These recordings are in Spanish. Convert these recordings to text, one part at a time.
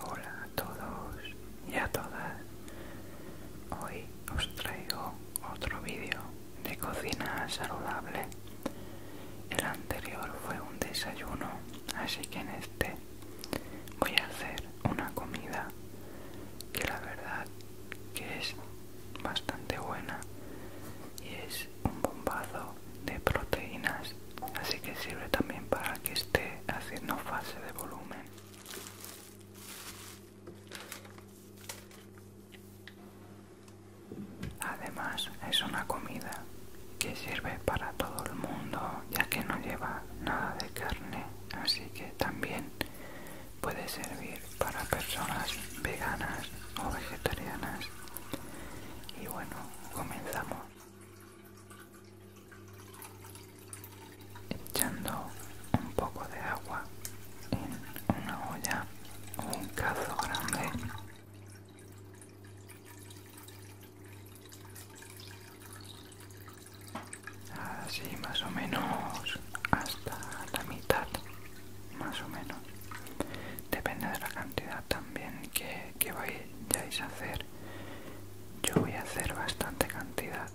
Hola a todos y a todas. Hoy os traigo otro vídeo de cocina saludable. El anterior fue un desayuno, así que en este voy a hacer una comida que la verdad que es bastante buena y es un bombazo de proteínas así que sirve también para que esté haciendo fase de volumen además es una comida que sirve para todo el mundo ya que no lleva nada de carne así que también puede servir para personas veganas o vegetarianas y bueno comenzamos echando un poco de agua en una olla o un cazo grande así más o menos hasta la mitad más o menos depende de la cantidad también que, que vayáis a hacer yo voy a hacer bastante cantidad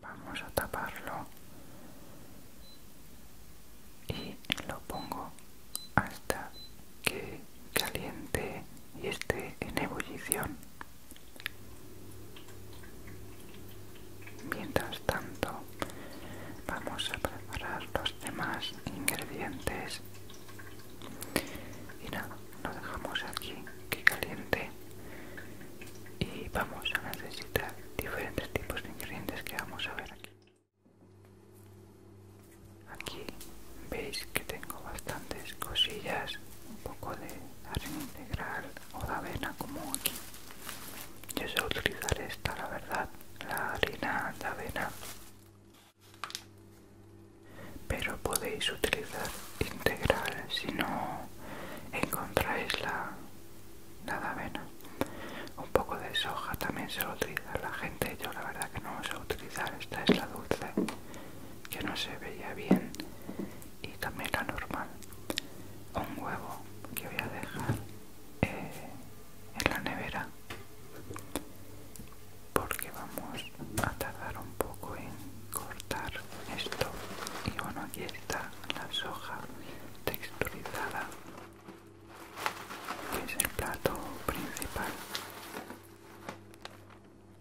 vamos a taparlo y lo pongo hasta que caliente y esté en ebullición. Mientras tanto, vamos a preparar los demás ingredientes y nada, lo dejamos aquí que caliente y vamos a necesitar diferentes tipos de ingredientes que vamos a ver aquí. Aquí veis que tengo bastantes cosillas, un poco de harina integral o de avena como aquí. Yo suelo utilizar esta, la verdad, la harina de avena. Pero podéis utilizar integral si no encontráis la, de avena. Un poco de soja también se lo utiliza la gente, yo la verdad que no os a utilizar, esta es la dulce que no se veía bien y también la normal un huevo que voy a dejar eh, en la nevera porque vamos a tardar un poco en cortar esto y bueno aquí está la soja texturizada que es el plato principal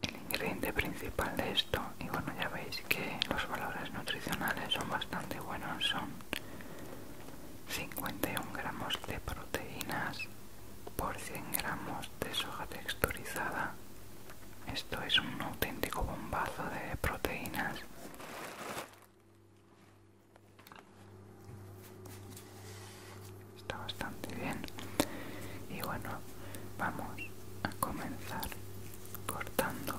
el ingrediente principal de esto, y bueno ya veis que los valores nutricionales son bastante buenos, son 51 gramos de proteínas por 100 gramos de soja texturizada. Esto es un auténtico bombazo de proteínas. Está bastante bien. Y bueno, vamos a comenzar cortando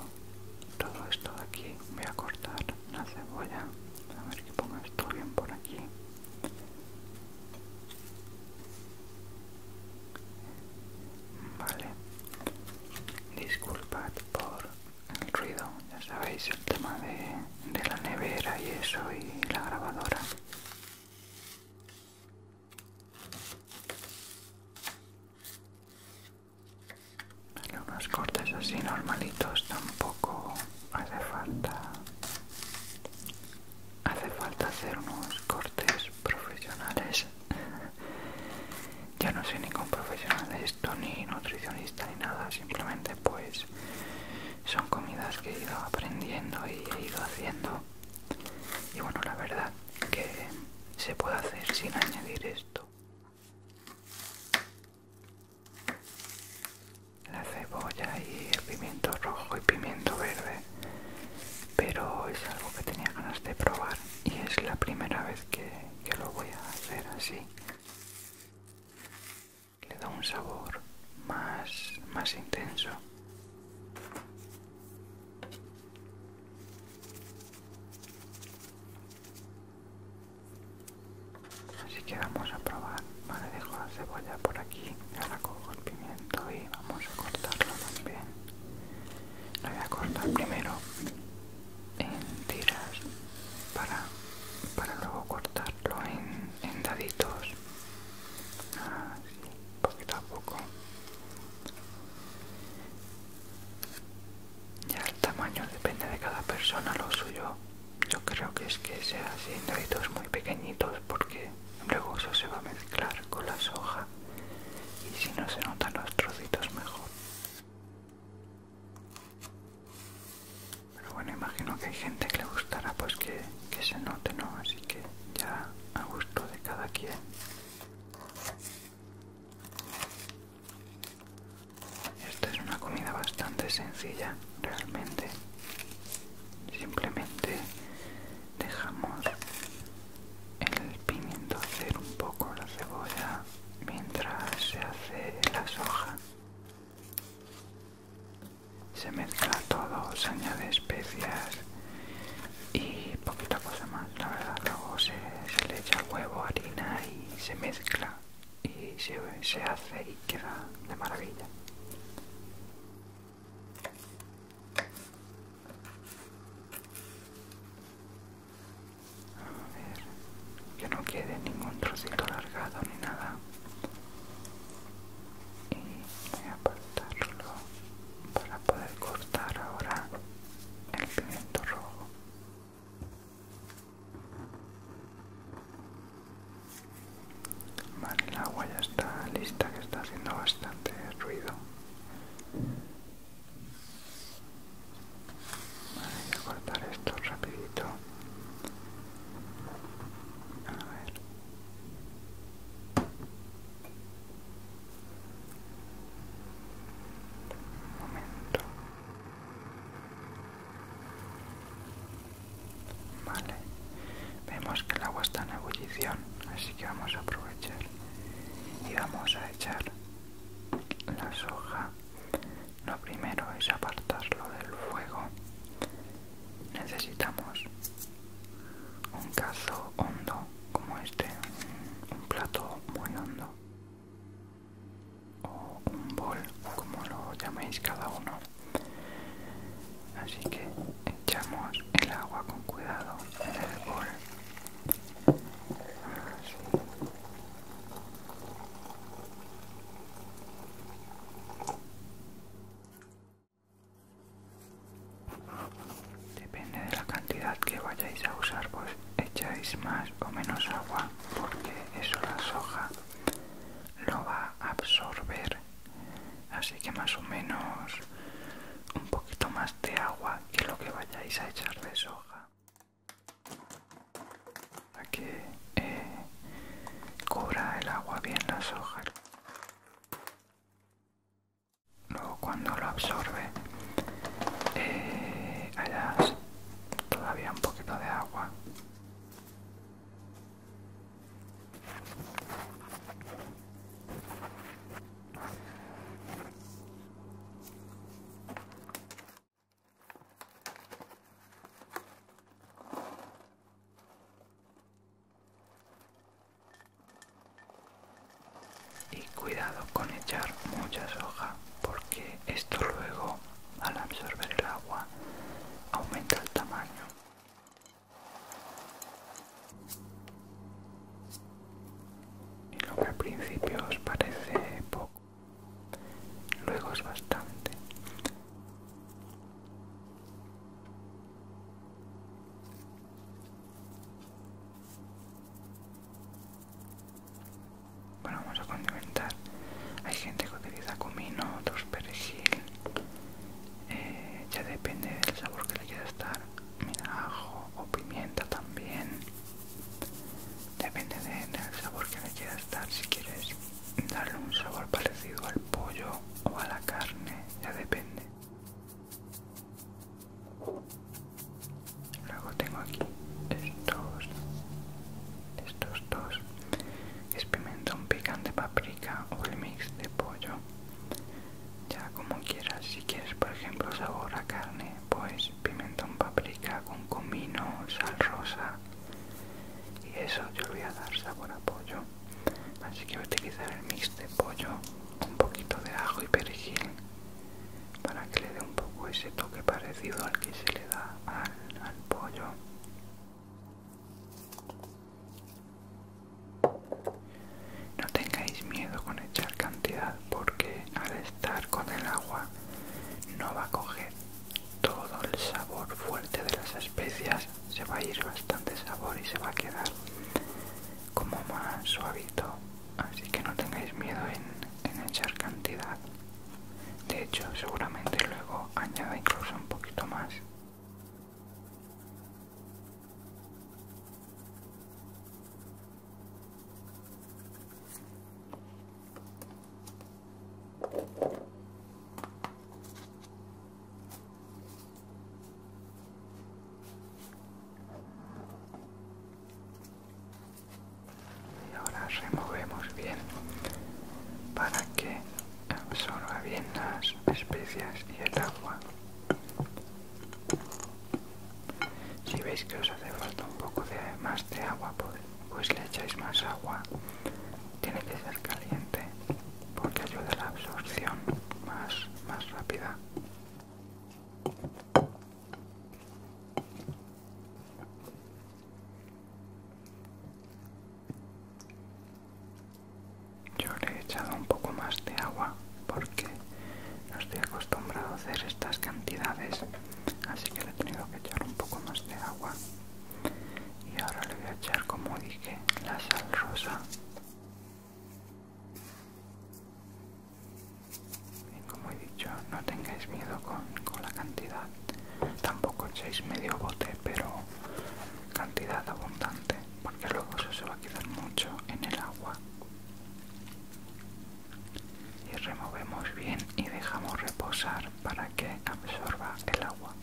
todo esto de aquí. Voy a cortar la cebolla. A ver que ponga esto bien por aquí. Vale. Disculpad por el ruido. Ya sabéis el tema de, de la nevera y eso y la grabadora unos cortes así normalitos tampoco hace falta. Hace falta hacer unos cortes profesionales. ya no soy ningún profesional de esto, ni nutricionista, ni nada. Simplemente pues son comidas que he ido aprendiendo y he ido haciendo y bueno la verdad que se puede hacer sin añadir esto la cebolla y el pimiento rojo y pimiento verde pero es algo que tenía ganas de probar y es la primera vez que lo voy a hacer así le da un sabor más, más intenso. Así que vamos a probar. Vale, dejo la cebolla por aquí, ahora cojo el pimiento y vamos a cortarlo también. Lo voy a cortar primero en tiras para, para luego cortarlo en en daditos ah, poquito a poco ya el tamaño depende de cada persona lo suyo yo creo que es que sea así en daditos muy pequeñitos porque luego eso se va a mezclar con la soja y si no se notan los trocitos mejor pero bueno, imagino que hay gente que le gustará pues que, que se note, ¿no? Así que ya a gusto de cada quien. Esta es una comida bastante sencilla, realmente. Simplemente dejamos el pimiento hacer un poco la cebolla mientras se hace la soja se mezcla todo, se añade especias y poquita cosa más, la verdad. Luego se, le echa huevo, harina y se mezcla y se, se hace y queda de maravilla. A ver, que no quede ningún trocito alargado ni nada y voy a apartarlo para poder cortar ahora el pimiento rojo vale el agua ya está lista que está haciendo bastante ruido vale, voy a cortar esto rapidito a ver. momento. Vale. Vemos que el agua está en ebullición, así que vamos a aprovechar y vamos a echar la soja lo primero es apartarlo del fuego. Necesitamos un cazo hondo como este, un, plato muy hondo o un bol, como lo llaméis cada uno. Así que echamos el agua con cuidado en el bol. Depende de la cantidad que vayáis a usar, pues echáis más o menos agua porque eso la soja lo va a absorber. Así que más o menos un poquito más de agua que lo que vayáis a echar de soja para que eh, cubra el agua bien las hojas. Luego cuando lo absorbe eh, todavía un poquito de agua. Y cuidado con echar muchas hojas porque esto luego al absorber el agua aumenta el tamaño. Y lo que al principio os parece poco Luego es bastante. Bueno, vamos a condimentar. Hay gente que utiliza comino, otros perejil. Eh, ya depende del sabor que le quiera estar. Mira, ajo o pimienta también. Depende del sabor que le quieras dar, si quieres darle un sabor parecido al pollo o a la carne, ya depende. Luego tengo aquí estos, estos dos, es pimentón picante, paprika o el mix de pollo. Ya como quieras, si quieres por ejemplo sabor a carne pues pimentón, paprika con comino, sal rosa y eso yo le voy a dar sabor a pollo así que voy a utilizar el mix de pollo un poquito de ajo y perejil para que le dé un poco ese toque parecido al que se le da al pollo no tengáis miedo con echar cantidad porque al estar con el agua no va a coger todo el sabor fuerte de las especias se va a ir bastante sabor y se va a quedar como más suavito así que no tengáis miedo en, en echar cantidad de hecho seguramente luego añada incluso un poquito más y ahora removemos bien para que absorba bien las especias y el agua. Si veis que os hace falta un poco de más de agua, pues, pues, le echáis más agua. Tiene que ser caliente porque ayuda a la absorción más, más rápida. Yo le he echado un poco más de agua porque no estoy acostumbrado a hacer estas cantidades, así que le he tenido que echar un poco más de agua. Y ahora le voy a echar, como dije, la sal rosa. Y como he dicho, no tengáis miedo con, con la cantidad. Tampoco echéis medio bote, pero cantidad abundante, porque luego eso se va a quedar mucho en el agua y removemos bien y dejamos reposar para que absorba el agua.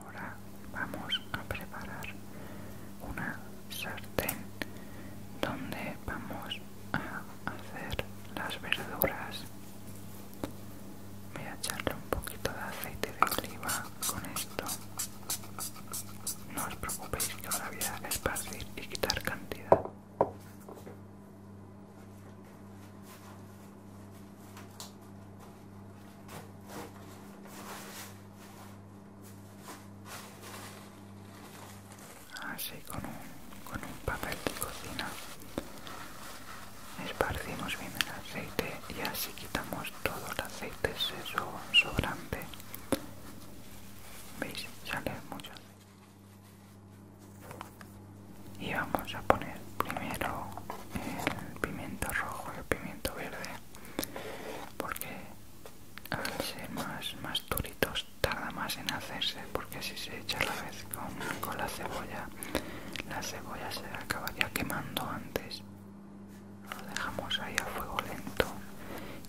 Ahora vamos a preparar una sartén donde vamos a hacer las verduras. Voy a echarle un poquito de aceite de oliva con esto. No os preocupéis que ahora voy a esparcir y quitar cantidad. Así con un, con un papel de cocina esparcimos bien el aceite y así quitamos todo el aceite eso sobrante. ¿Veis? Sale mucho aceite. Y vamos a poner primero el pimiento rojo, el pimiento verde, porque al ser más, más duritos tarda más en hacerse, porque si se echa a la vez con, con la cebolla, la cebolla se acabaría quemando antes. Lo dejamos ahí a fuego lento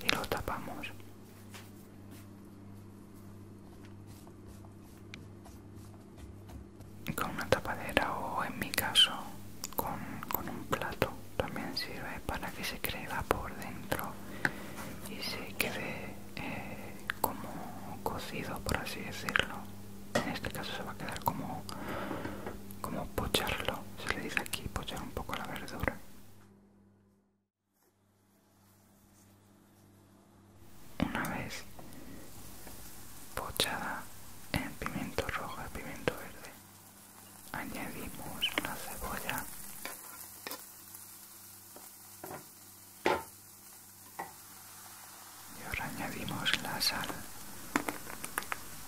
y lo tapamos con una tapadera o en mi caso con, un plato también sirve para que se crea por dentro y se quede eh, como cocido por así decirlo en este caso se va a quedar como como pocharlo se le dice aquí pochar un poco la verdura una vez pochada en pimiento rojo y pimiento verde. Añadimos la cebolla. Y ahora añadimos la sal.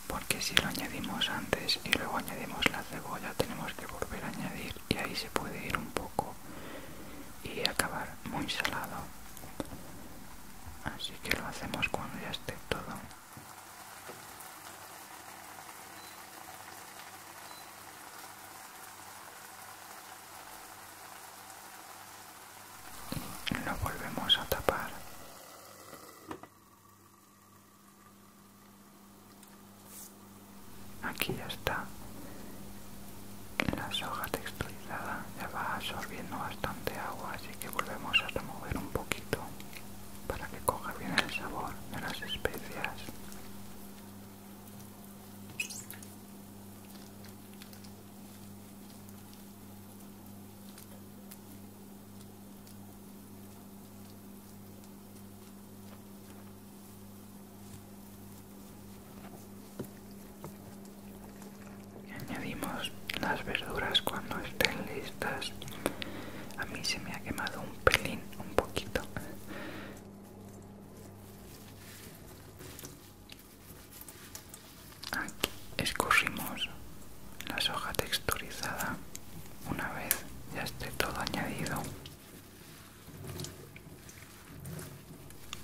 Porque si lo añadimos antes y luego añadimos la cebolla tenemos que volver a añadir y ahí se puede ir un poco y acabar muy salado así que lo hacemos cuando ya esté todo lo volvemos a tapar aquí ya está la soja texturizada ya va absorbiendo bastante agua así que volvemos a remover un poquito para que coja bien el sabor de las especias añadimos las verduras cuando estén listas. A mí se me ha quemado un pelín, un poquito. Aquí escurrimos la soja texturizada una vez ya esté todo añadido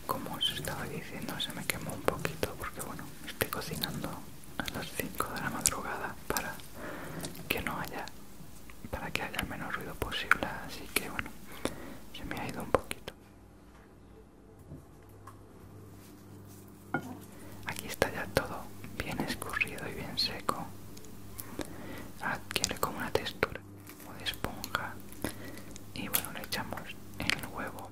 como os estaba diciendo se me quemó un poquito porque bueno estoy cocinando a las 5 de la madrugada para que no haya para que haya el menor ruido posible así que bueno se me ha ido un poquito aquí está ya todo bien escurrido y bien seco adquiere como una textura como de esponja y bueno le echamos el huevo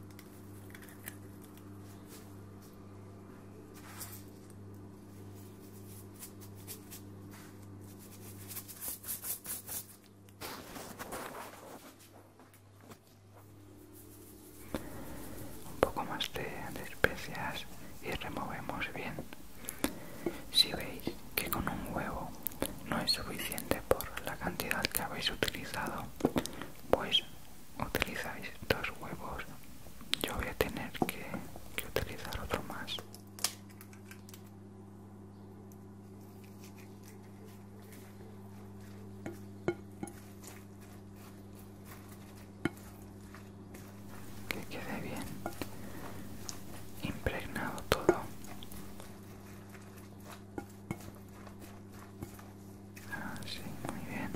un poco más de, especias y removemos bien si veis que con un huevo no es suficiente por la cantidad que habéis utilizado, pues utilizáis dos huevos. Yo voy a tener que utilizar otro más. Que quede bien impregnado todo. Ah, muy bien.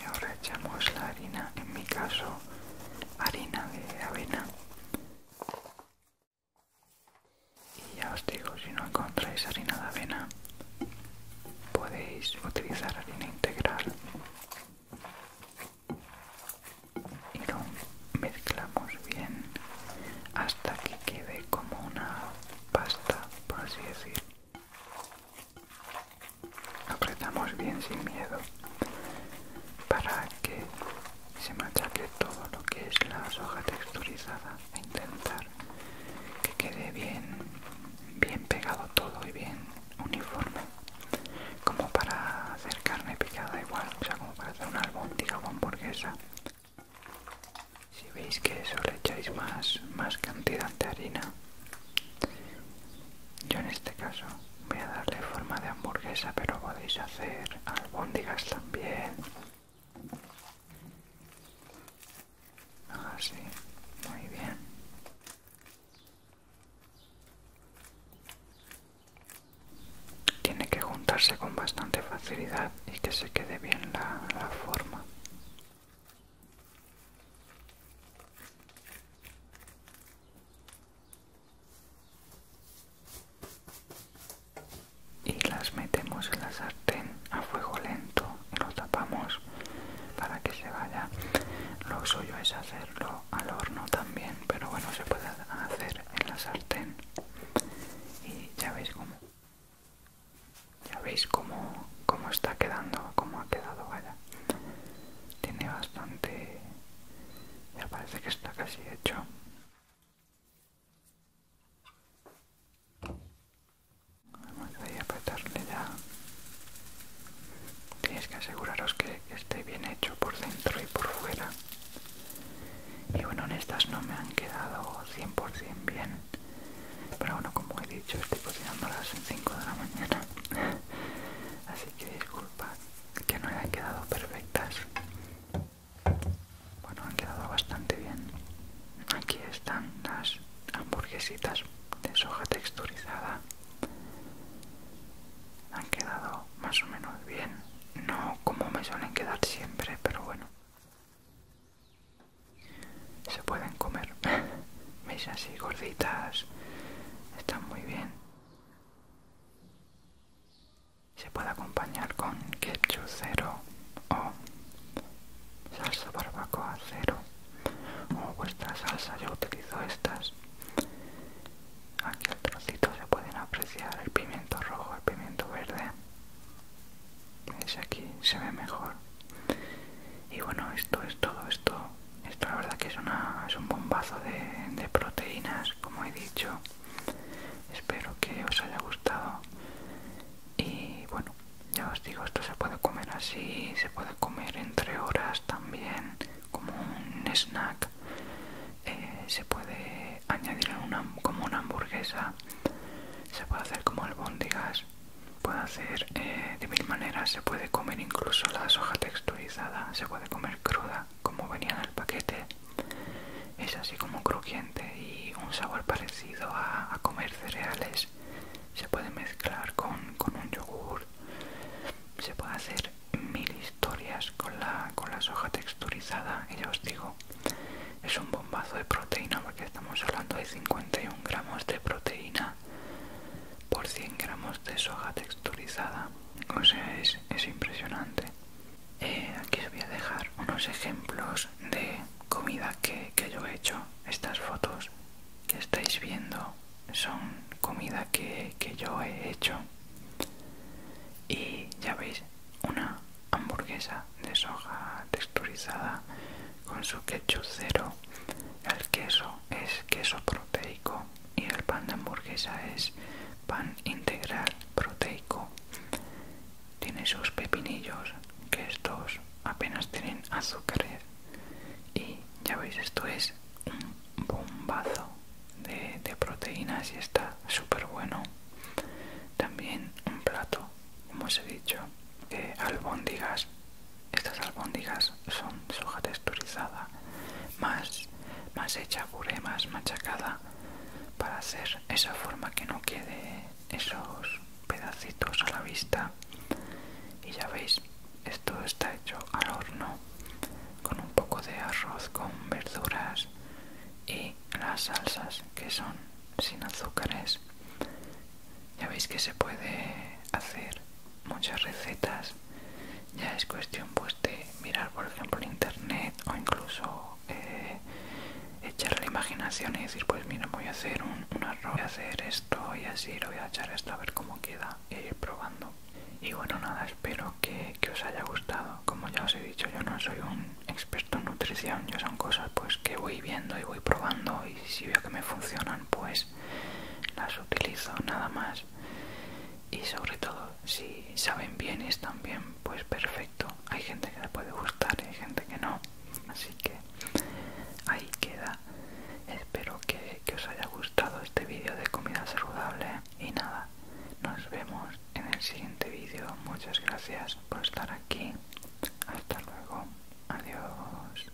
Y ahora echamos la harina, en mi caso harina de avena y ya os digo, si no encontráis harina de avena, podéis utilizar harina integral y lo mezclamos bien hasta que quede como una pasta, por así decir. Apretamos bien sin miedo para que se machaque todo lo que es la soja texturizada a intentar que quede bien bien pegado todo y bien uniforme como para hacer carne picada igual o sea como para hacer una albóndiga o hamburguesa si veis que solo echáis más, más cantidad de harina yo en este caso voy a darle forma de hamburguesa pero podéis hacer albóndigas Bien, Así, ah, muy bien. Tiene que juntarse con bastante facilidad y que se quede bien la forma y las metemos en la sartén a fuego lento y lo tapamos para que se vaya lo suyo es hacerlo al horno también pero bueno se puede hacer en la sartén y ya veis cómo ya veis cómo, está quedando cómo ha quedado vaya tiene bastante ya parece que está casi hecho Además a ya, tenéis que aseguraros que esté bien hecho por dentro y por fuera. Y bueno, en estas no me han quedado 100% bien, pero bueno, como he dicho, estoy cocinándolas en 5 de la mañana, así que disculpa que no hayan quedado perfectas. Bueno, han quedado bastante bien. Aquí están las hamburguesitas de soja texturizada. Han quedado más o menos bien. No como me suelen quedar siempre, pero bueno. Se pueden comer. ¿Veis así gorditas? Están muy bien. Se puede acompañar con ketchup cero o salsa barbacoa cero o vuestra salsa. Yo utilizo estas. Aquí al trocito se pueden apreciar el pimiento rojo, el pimiento verde. Es aquí, se ve mejor. Y bueno, esto es todo. Esto, esto la verdad que es, es un bombazo de, proteínas, como he dicho espero que os haya gustado y bueno ya os digo esto se puede comer así se puede comer entre horas también como un snack eh, se puede añadir como una hamburguesa se puede hacer como albóndigas puede hacer eh, de mil maneras se puede comer incluso la soja texturizada se puede comer cruda como venía en el paquete es así como crujiente y un sabor parecido a, a comer cereales se puede mezclar con, un yogur se puede hacer mil historias con la, con la soja texturizada y ya os digo es un bombazo de proteína porque estamos hablando de 51 gramos de proteína por 100 gramos de soja texturizada o es, impresionante. Eh, aquí os voy a dejar unos ejemplos de comida que, yo he hecho. Estas fotos que estáis viendo son comida que, que yo he hecho. Y ya veis, una hamburguesa de soja texturizada con su ketchup cero. El queso es queso proteico y el pan de hamburguesa es pan integral proteico tiene sus pepinillos que estos apenas tienen azúcares y ya veis esto es un bombazo de, proteínas y está súper bueno también un plato como os he dicho de albóndigas estas albóndigas son soja texturizada, más, más hecha puré, más machacada, para hacer esa forma que no quede esos pedacitos a la vista. Y ya veis, esto está hecho al horno con un poco de arroz, con verduras y las salsas que son sin azúcares. Ya veis que se puede hacer muchas recetas ya es cuestión pues de mirar por ejemplo en internet o incluso eh, echar la imaginación y decir pues mira voy a hacer un, arroz voy a hacer esto y así lo voy a echar esto a ver cómo queda e eh, ir probando y bueno nada espero que, que os haya gustado como ya os he dicho yo no soy un experto en nutrición yo son cosas pues que voy viendo y voy probando y si veo que me funcionan pues las utilizo nada más y sobre todo si saben bien bienes también pues perfecto hay gente que le puede gustar y hay gente que no así que ahí queda espero que os haya gustado este vídeo de comida saludable y nada nos vemos en el siguiente vídeo muchas gracias por estar aquí hasta luego adiós